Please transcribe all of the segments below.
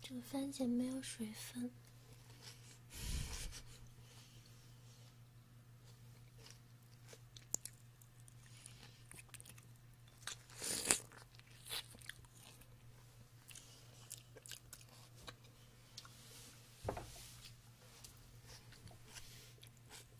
这个番茄没有水分。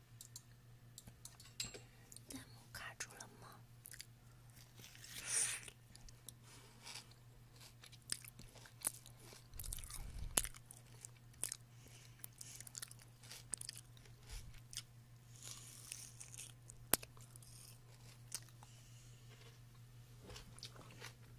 弹幕卡住了吗？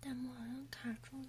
弹幕好像卡住了。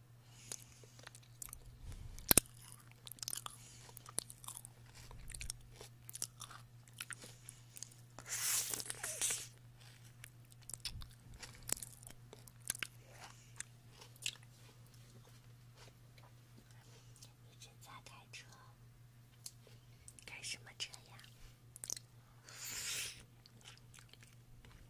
一直在开车，什么车呀？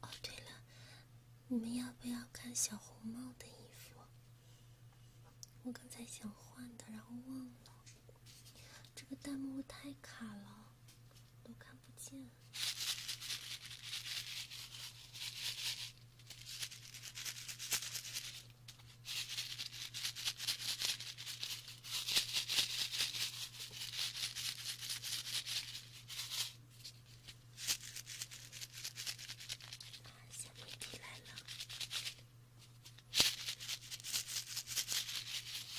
哦，对了，你们要不要看小红帽的衣服？我刚才想换的，然后忘了。这个弹幕太卡了。都看不见。小来了。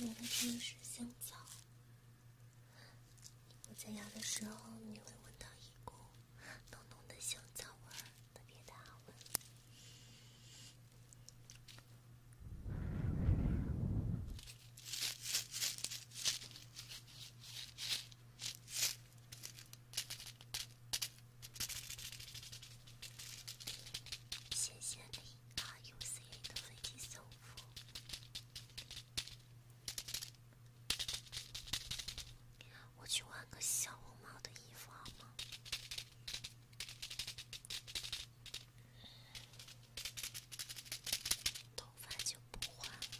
有的是香草，我在咬的时候，你会闻到一股浓浓的香草味，特别的好闻。权限里 R U C 的 V D 修复，我去换个小红帽的衣服好吗？头发就不换了。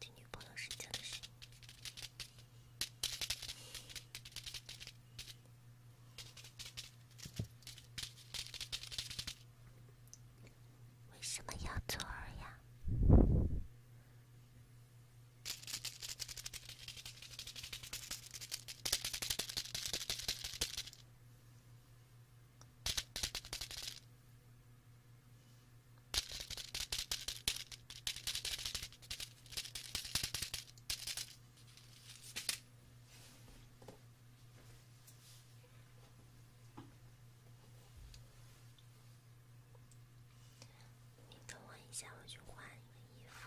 听女朋友睡觉的声音，为什么要做耳呀？你等我一下，我去换一个衣服。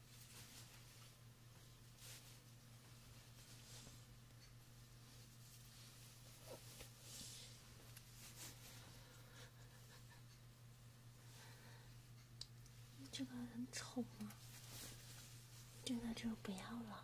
这个很丑吗？这个就不要了。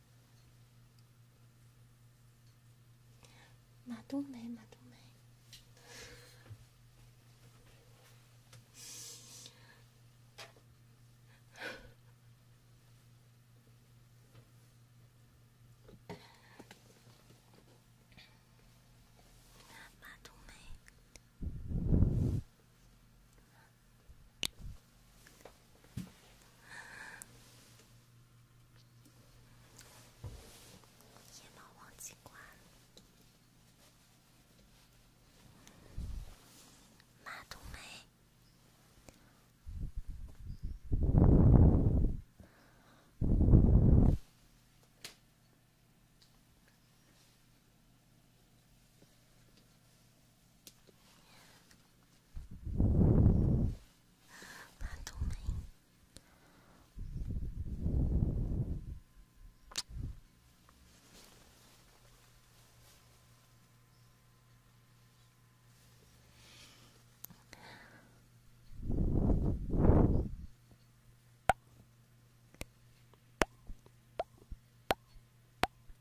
马冬梅，马冬梅，夜猫王警官，马冬梅。马冬梅。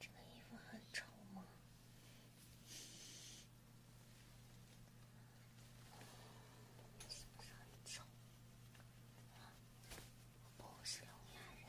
这个衣服很丑吗？是不是很丑？我不是聋哑人。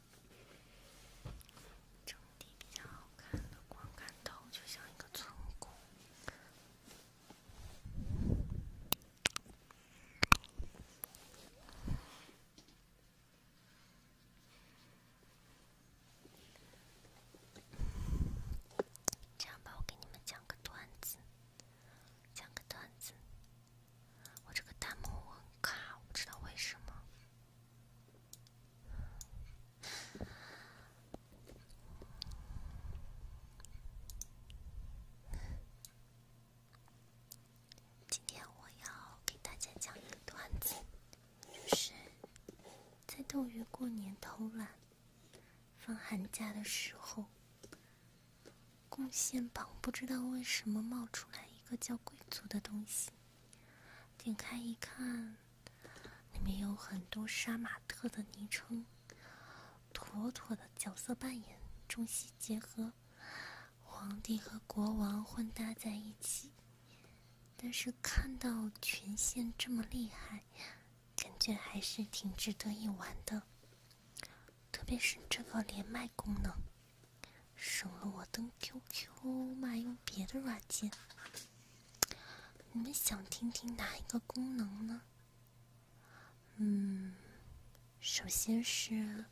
整体比较好看，的光看头就像一个村姑。这样吧，我给你们讲个段子，讲个段子。我这个弹幕很卡，我不知道为什么。今天我要给大家讲一个段子，就是在斗鱼过年偷懒，放寒假的时候，贡献榜不知道为什么冒出来。一个叫贵族的东西，点开一看，里面有很多杀马特的昵称，妥妥的角色扮演，中西结合，皇帝和国王混搭在一起。但是看到权限这么厉害，感觉还是挺值得一玩的，特别是这个连麦功能。省了我登 QQ，买用别的软件。你们想听听哪一个功能呢？嗯，首先是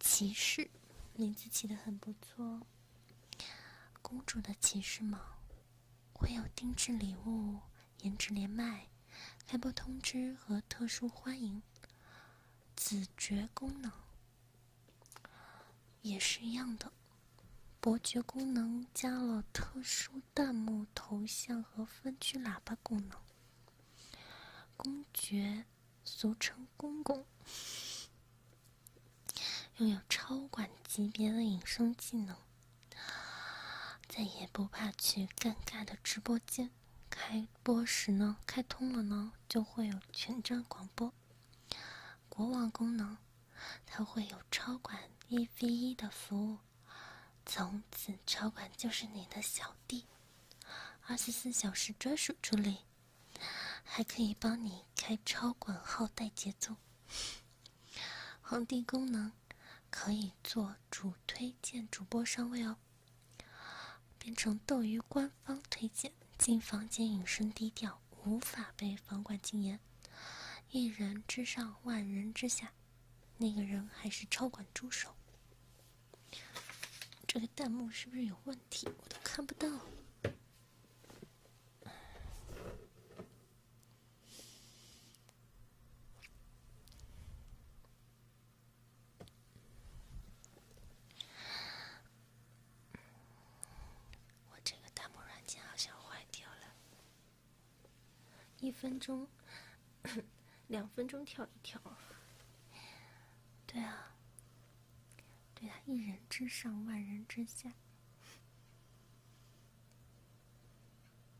骑士，名字起的很不错。公主的骑士吗？会有定制礼物、颜值连麦、开播通知和特殊欢迎。子爵功能也是一样的，伯爵功能加了特殊弹幕头像和分区喇叭功能。公爵，俗称公公，拥有超管级别的隐身技能，再也不怕去尴尬的直播间。开播时呢，开通了呢，就会有全站广播、国网功能，它会有超管一 v 一的服务，从此超管就是你的小弟，二十四小时专属处理，还可以帮你开超管号带节奏，皇帝功能可以做主推荐主播上位哦。变成斗鱼官方推荐进房间隐身低调，无法被房管禁言。一人之上，万人之下，那个人还是超管助手。这个弹幕是不是有问题？我都看不到。我这个弹幕软件好像坏掉了。一分钟，两分钟跳一跳。对啊，对啊，一人之上，万人之下。